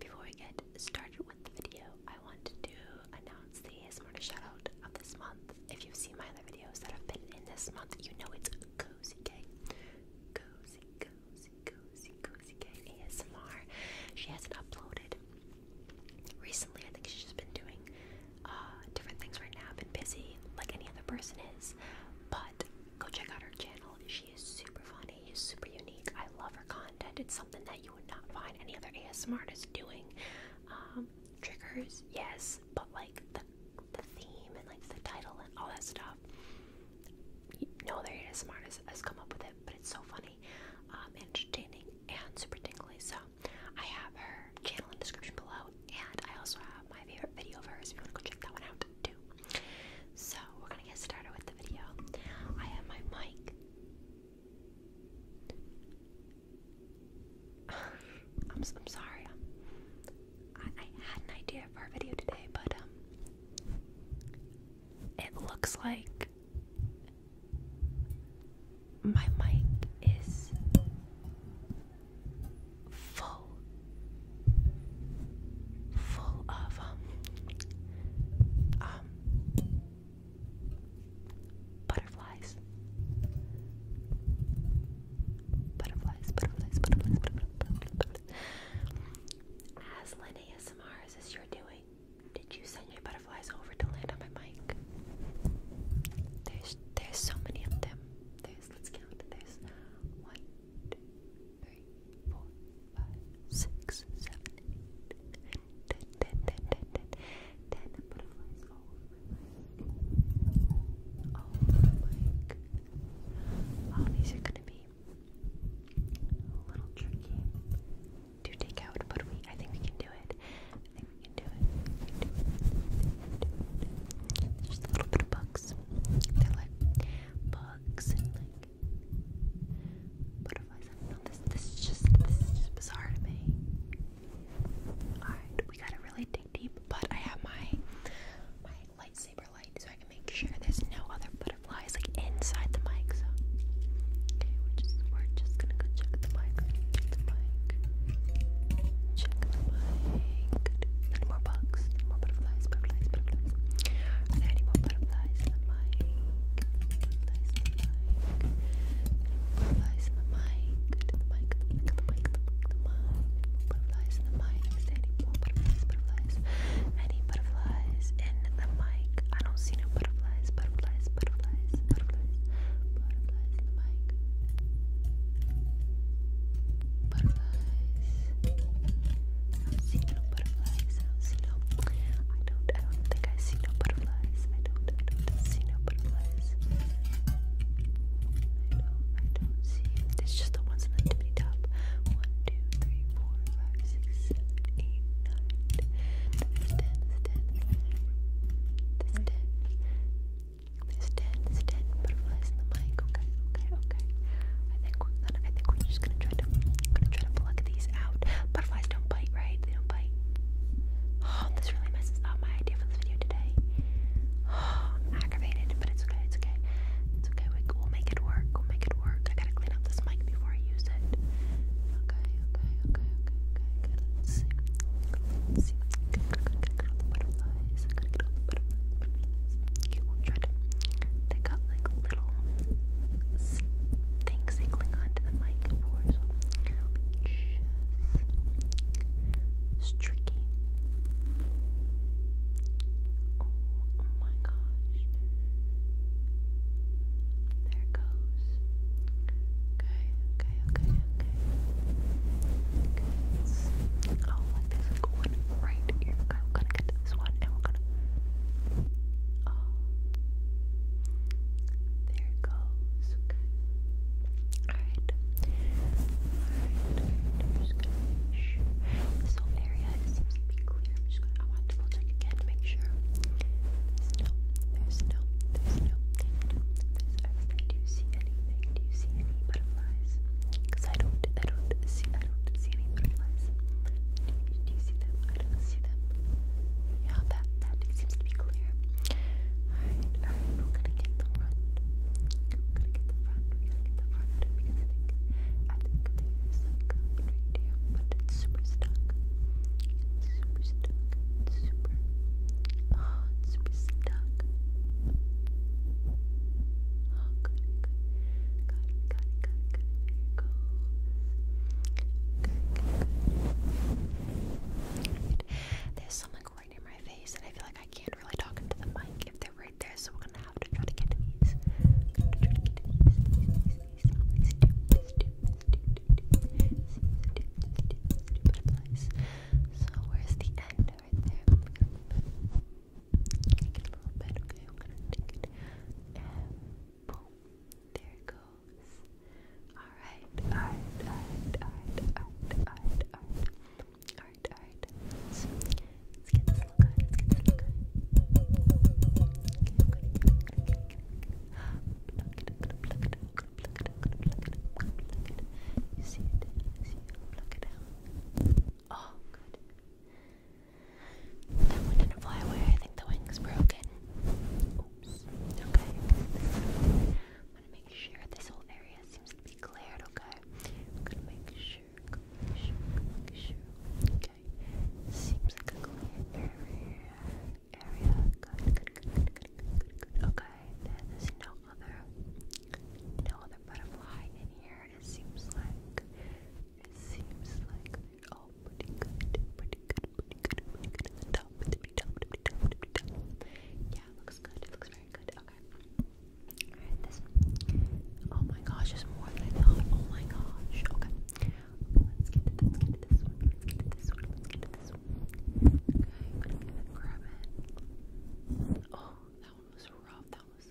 Before we get started with the video, I want to announce the ASMR shoutout of this month. If you've seen my other videos that have been in this month, you know it's Cozy K. Cozy, Cozy, Cozy, Cozy K ASMR. She hasn't uploaded recently. I think she's just been doing uh, different things right now, been busy like any other person is. But go check out her channel. She she super funny, is super unique. I love her content. It's something that you would not find any other ASMR artist doing. Um, triggers, yes, but like the the theme and like the title and all that stuff. No other ASMR artist has come up with it, but it's so funny, um, entertaining, and super tingly. So I have her channel in description below, and I also have my favorite video of hers if you want to go check that one out too. So we're gonna get started with the video. I have my mic. I'm, I'm sorry. I, I had an idea for a video today, but um, it looks like my mic is full, full of um, um butterflies. Butterflies, butterflies, butterflies, butterflies, ASMR as this you doing, did you send your butterflies over to land on my mic? There's there's so many of them. There's let's count. There's one, two, three, four, five, six, seven, eight, ten, ten, ten, ten, ten, ten, ten butterflies my mic. All over gonna be a little tricky to take but we I think we can do it. I think we can do it. We a little bit of bugs. They're like bugs and like Butterflies, I This, is just, this is just bizarre to me. Alright, we gotta really dig deep, but I have my, my lightsaber light so I can make sure there's no other butterflies, like, inside the mic, so. we're just, we're just gonna go check the mic, check the mic, check the mic. And more bugs, more butterflies, butterflies, butterflies. Are there any more butterflies in the mic? Butterflies in the mic. Butterflies in the mic. the mic. The mic. The mic. The mic. Butterflies in the mic. any more butterflies? Butterflies. Any butterflies in the mic? I don't see no butterflies. Butterflies. Butterflies. Butterflies. Butterflies in the mic. Butterflies. I don't see no butterflies, see I don't, I don't think I see no butterflies. I don't, I don't see no butterflies. I don't, I don't see. It's just the ones on the tippy top. One, two, three, four, five, six, seven, eight, nine, ten. There's ten. There's ten. There's ten. There's ten. There's ten butterflies in the mic. Okay, okay, okay. I think we're just gonna try to try to pluck these out. Butterflies don't bite, right? They don't bite. Oh, this really messes up my idea for this video today. Oh, aggravated, but it's okay, it's okay. It's okay, we, will make it work, we'll make it work. I gotta clean up this mic before I use it. Okay, okay, okay, okay, okay, okay. Let's see. Let's see. Good, good, good, good, good. All the butterflies. Good, good, all the butterflies. butterflies. Okay, we'll try to take out like little thing singling onto the mic for, so tricky. Oh, my gosh. There goes. Okay, okay, okay, okay. Oh, like there's one right here. I'm gonna get this one and we're gonna. Oh. There it goes. Alright. I'm just gonna This whole area seems to be clear. I'm just gonna. I want to double again to make sure. There's no. There's no. There's no. Do you see anything? Do you see any butterflies? Because I don't. I don't see don't see any butterflies. Do you, see them? I don't see them. Yeah, that, that seems to be clear. Alright, alright, gonna get the front. We're gonna get the front. We're to get the front because I think, I think there's like a but it's super stuck. It's super stuck. super. Oh, it's super stuck. Oh, good, good. Got it, got good. There's something right near my face, and I feel like I can't really talk into the mic if they're right there, so we're gonna have to try to get these. We're gonna try to Take it a little bit, okay? I'm gonna take it boom. There it goes. Alright, alright, alright, alright, alright, alright, alright. Alright, alright. let's get this look good. Let's get this look good. You see it? You see it? Pluck it out. Oh, good. That one didn't fly away. I think the wing's broken. Oops. Okay. I'm gonna make sure this whole area seems to be cleared. Okay. gonna make sure. Make sure. Make sure. Okay. Seems like a clear area. Area. Good. Good. Good. Good. Good. Good. Okay. There's no other. No other butterfly in here. It seems like. It seems like they're all pretty good, pretty good, pretty good, pretty good at the Yeah, looks good, looks very good. Okay. Alright, this Oh my gosh, there's more than I thought. Oh my gosh. Okay. let's get to this one. Let's get to this one. Let's get to this one. Okay, I'm grab it. Oh, that one was rough. That was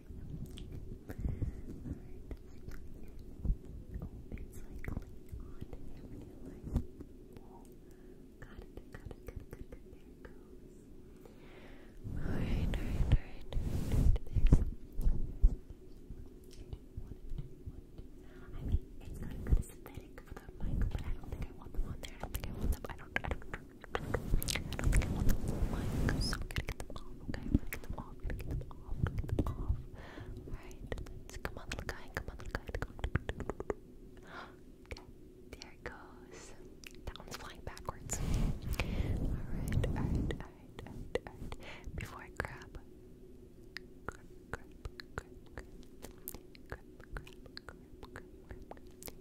mean, it's not good as synthetic for the mic, but I don't think I want them on there. I don't think I want them. I am gonna get them off, okay? I'm going get them off, get them off, get them off. Alright, come on little guy, come on little guy, Okay, there it goes. That one's flying backwards. Alright, alright, alright, alright, alright. Before I grab, grab, grab, grab, grab, grab, grab, grab, grab, grab,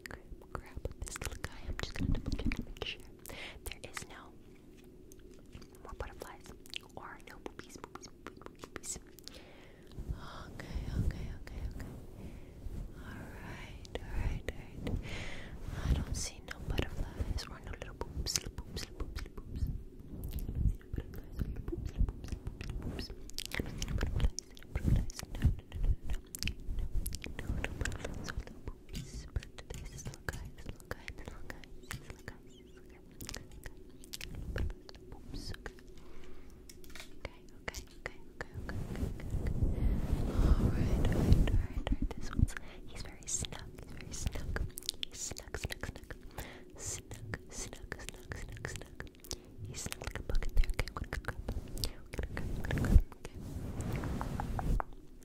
grab, grab, grab this little guy, I'm just gonna double check and make sure there is no more butterflies or no boobies, Okay, okay, okay, okay. Alright, alright, alright. I don't see no butterflies or no little boobs, little boobs, little boobs, little boobs. I don't see no butterflies or little boobs, little boobs, little boobs. I don't see no butterflies, little butterflies. No, no, no, no, no. No, Super to this look eyes, look eyes, look eyes, look eyes, look eyes, look Okay, okay, okay, okay, okay, okay, Alright, alright, alright, alright. This one's he's very snug, he's very snug. He's snug, snug, snug. Snug, snug, snug, snug, snug. He's snug like a bug in there. Okay, I'm gonna grab him. Okay, I'm gonna grab him, okay. So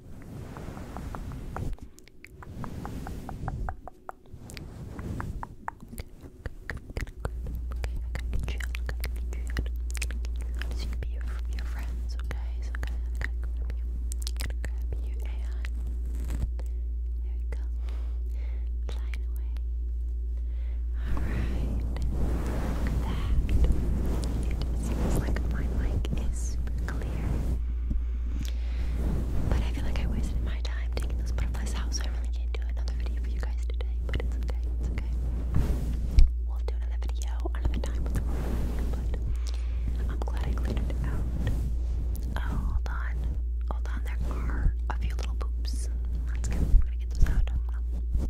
you can be your, your friends, okay? So I'm gonna, I'm gonna grab you. I'm gonna grab you and there we go. Flying away. Alright that it seems like my mic is super clear. But I feel like I wasted my time taking those butterflies out, so I really can't do another video for you guys today. But it's okay, it's okay. We'll do another video another time but I'm glad I cleared it out. Oh, hold on. Hold on, there are a few little poops. Let's get, get those out. I'm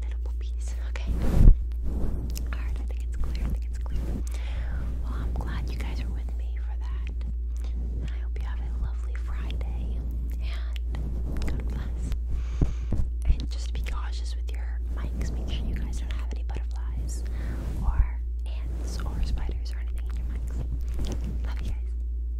Little puppies. Okay. Alright, I think it's clear. I think it's clear. Well, I'm glad you guys are with me for that. I hope you have a lovely Friday. And God bless. And just be cautious with your mics. Make sure you guys don't have any butterflies or ants or spiders or anything in your mics. Love you guys.